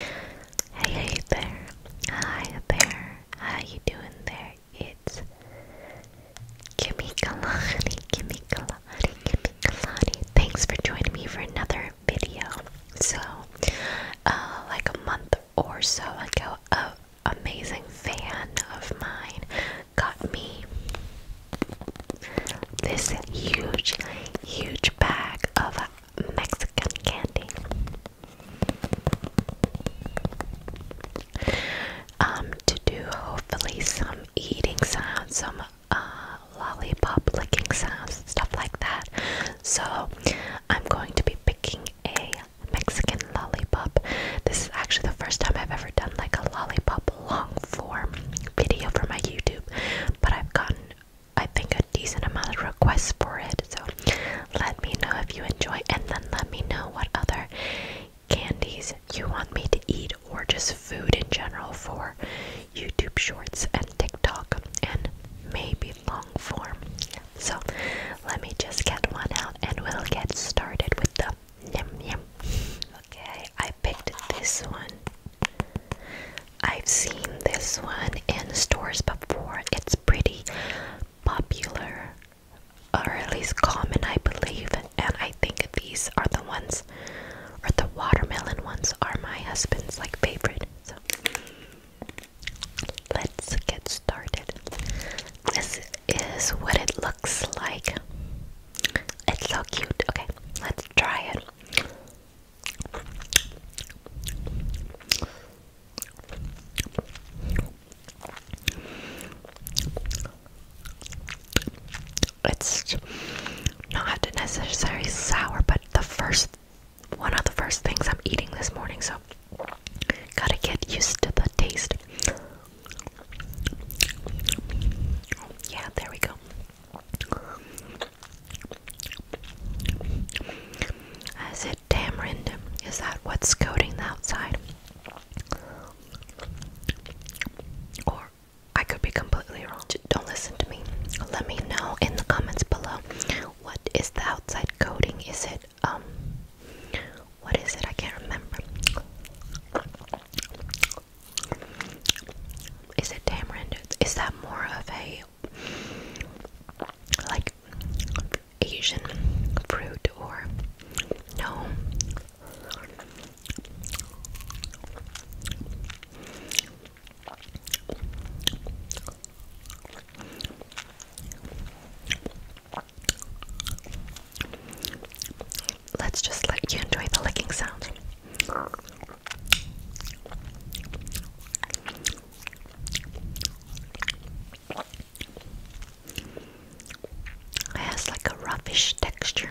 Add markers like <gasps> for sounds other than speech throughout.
Hey, there. Hi there. How you doing there? It's Kimmy Kalani, Kimmy Kalani, Kalani. Thanks for joining me for another video. So, uh, like a month or so ago, an amazing fan of mine got me this huge, huge bag of Mexican candy. Um, to do hopefully some eating sounds, some uh, lollipop licking sounds, stuff like that. So I'm going to be picking a Mexican lollipop. This is actually the first time I've ever done like a lollipop long form video for my YouTube, but I've gotten I think a decent amount of requests for it. So let me know if you enjoy and then let me know what other candies you want me to eat or just food in general for YouTube shorts and TikTok and maybe long form. So let me just get one out and we'll get started with the yum yum. Okay, I picked this one. I've seen this one in stores before. It's pretty popular, or at least common, I believe. And I think these are the ones, or the watermelon ones, are my husband's like favorite. So let's get started. This is what it looks like. It's so cute. Okay, let's try it. It's not necessarily sour, but the first one of the first things I'm eating this morning, so gotta get used to the taste. Yeah, there we go. I said, Tamarind, is that what's coating the outside? Or I could be completely wrong. Don't listen to me. Let me know in the comments below. What is the outside coating? Is it, um, what is it? I can't remember. Is it tamarind? Is that more of a like Asian fruit or no? let's just let you enjoy the licking sound. It has like a roughish texture.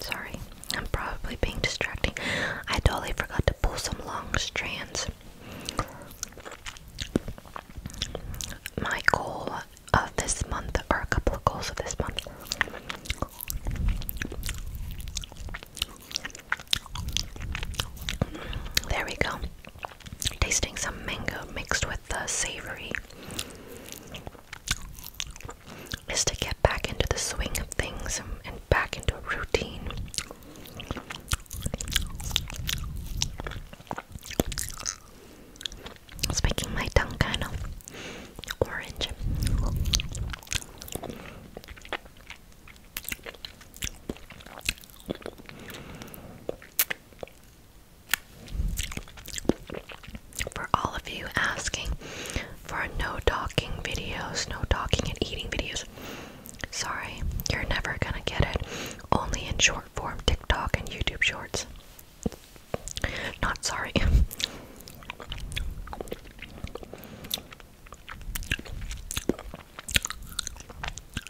Sorry, I'm probably being distracting. I totally forgot to pull some long strands. My goal of this month, or a couple of goals of this month, there we go. Tasting some mango mixed with the savory is to get back into the swing of things and back into routine. It's making my tongue kind of orange. For all of you asking for no talking videos, no talking and eating videos, sorry, you're never gonna get it. Only in short form TikTok and YouTube shorts. Not sorry. <laughs>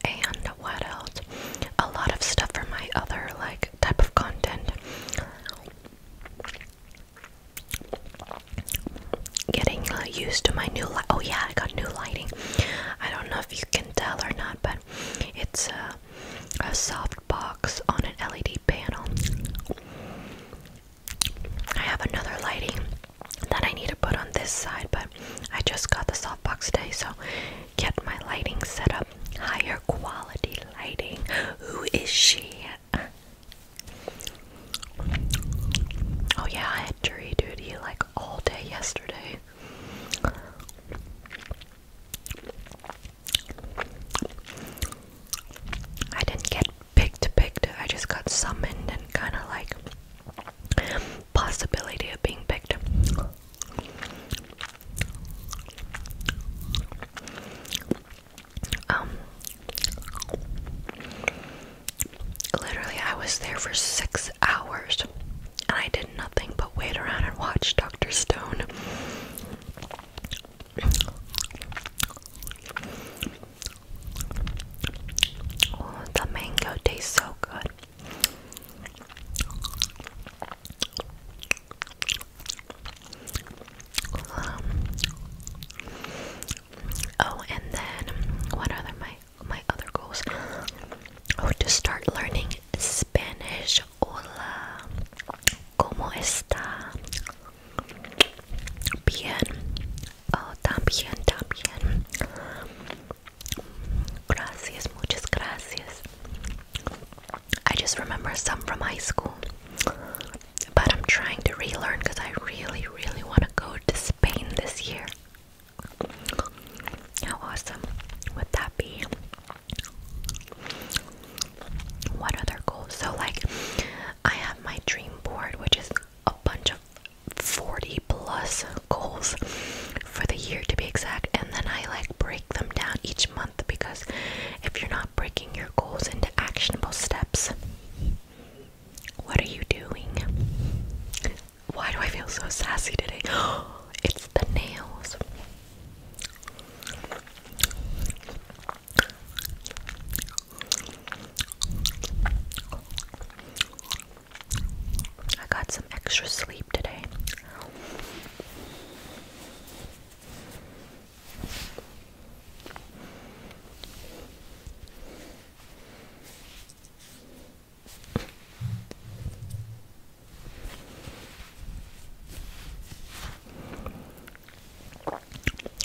And what else? A lot of stuff for my other like type of content. Getting uh, used to my new light. Oh yeah, I got new lighting. I don't know if you can tell or not, but it's a soft box on an LED panel. I have another lighting that I need to put on this side, but I just got the softbox today, so get my lighting set up. Higher quality lighting. Who is she? Oh, yeah, I had jury duty like all day yesterday. I didn't get picked, picked. I just got summoned and kind of like possibility of being picked. Um, literally, I was there for six hours and I did nothing but wait around and watch Dr. Stone. Oh, the mango tastes so good. Um, oh, and then what are my my other goals? Oh, to start learning Spanish. Hola, cómo está? Bien. Oh, también, también. Gracias, muchas gracias. I just remember some from high school, but I'm trying to relearn because I really, really want to go to Spain this year. How awesome would that be? What other goals? So, like, I have my dream board, which is a bunch of 40 plus goals for the year to be exact, and then I like break them down each month because if you're not breaking your goals into actionable steps, what are you doing? Why do I feel so sassy today? <gasps> It's the nails. I got some extra sleep today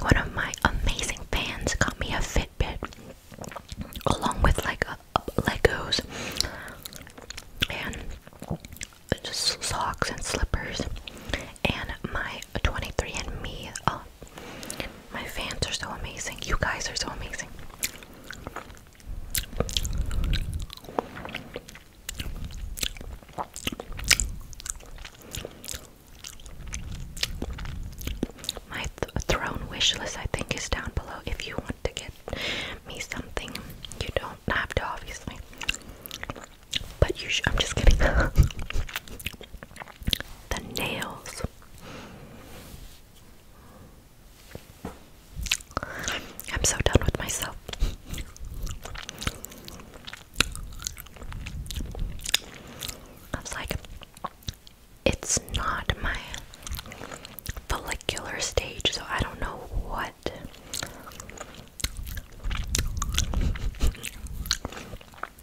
one of my amazing fans got me a Fitbit along with like Legos and socks and slippers. And my 23andMe, oh, uh, my fans are so amazing. You guys are so amazing. My throne wish list, I think, is down below. If you want to get me something, you don't have to, obviously. But you should. I'm just kidding. <laughs> the nails. I'm so done with myself. I was like, it's not my follicular stage, so I don't know what.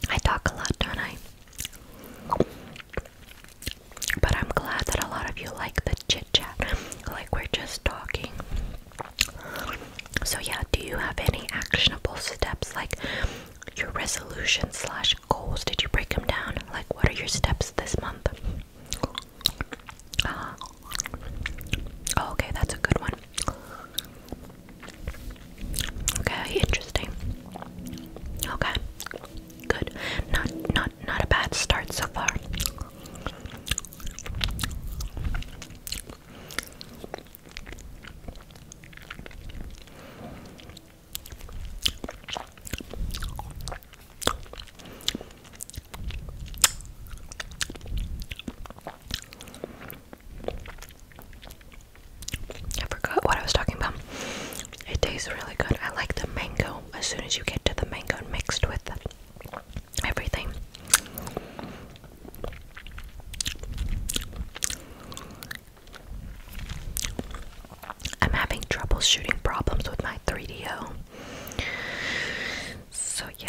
I talk a lot, don't I? But I'm glad that a lot of you like the chit chat. Like, we're just talking. So yeah, do you have any actionable steps like your resolution slash goals? Did you break them down? Like what are your steps this month? Uh, oh, okay, that's a good one. Okay, interesting. Okay. Good. Not not not a bad start so far. I forgot what I was talking about. It tastes really good. I like the mango. As soon as you get to the mango mixed with everything, I'm having trouble shooting problems with my 3DO. So, yeah.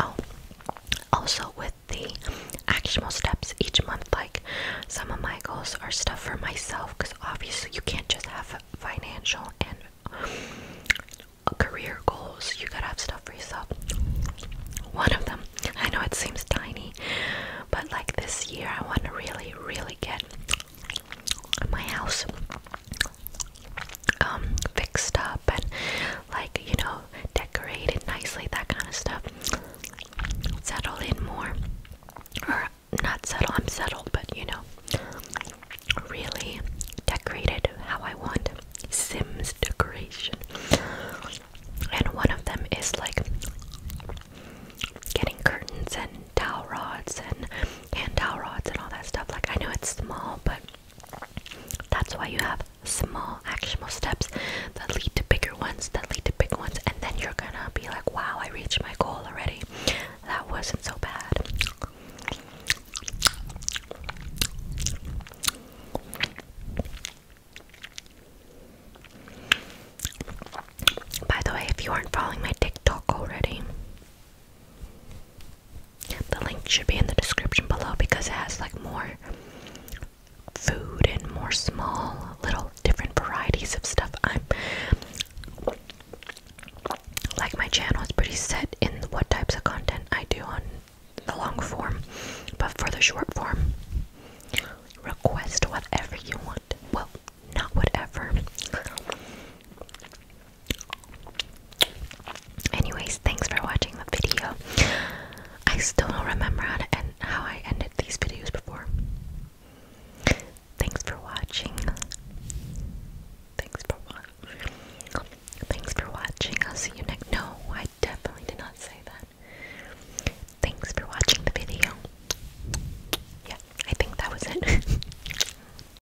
Oh, also with the actual steps each month, like some of my goals are stuff for myself because obviously you can't just have financial and career goals, you gotta have stuff for yourself. One of them, I know it seems tiny, but like this year, I want to really, really get my house um fixed up and like you know decorated nicely that kind of stuff settle in more or not settle i'm settled but you know really decorated how i want sims decoration and one of them is like getting curtains and towel rods and hand towel rods and all that stuff like i know it's small but that's why you have small actionable steps that lead to bigger ones, that lead to bigger ones, and then you're gonna be like, wow, I reached my goal already. That wasn't so bad. By the way, if you aren't following my TikTok already, the link should be in the description below because it has like more food and more small little different varieties of stuff. I'm like my channel is pretty set in what types of content I do on the long form, but for the short form, request whatever you want. Well, not whatever. Anyways, thanks for watching the video. I still don't remember how I ended these videos before. Thanks for watching. Thanks for watching. Thanks for watching. I'll see you next. No, I definitely did not say that. Thanks for watching the video. Yeah, I think that was it. <laughs>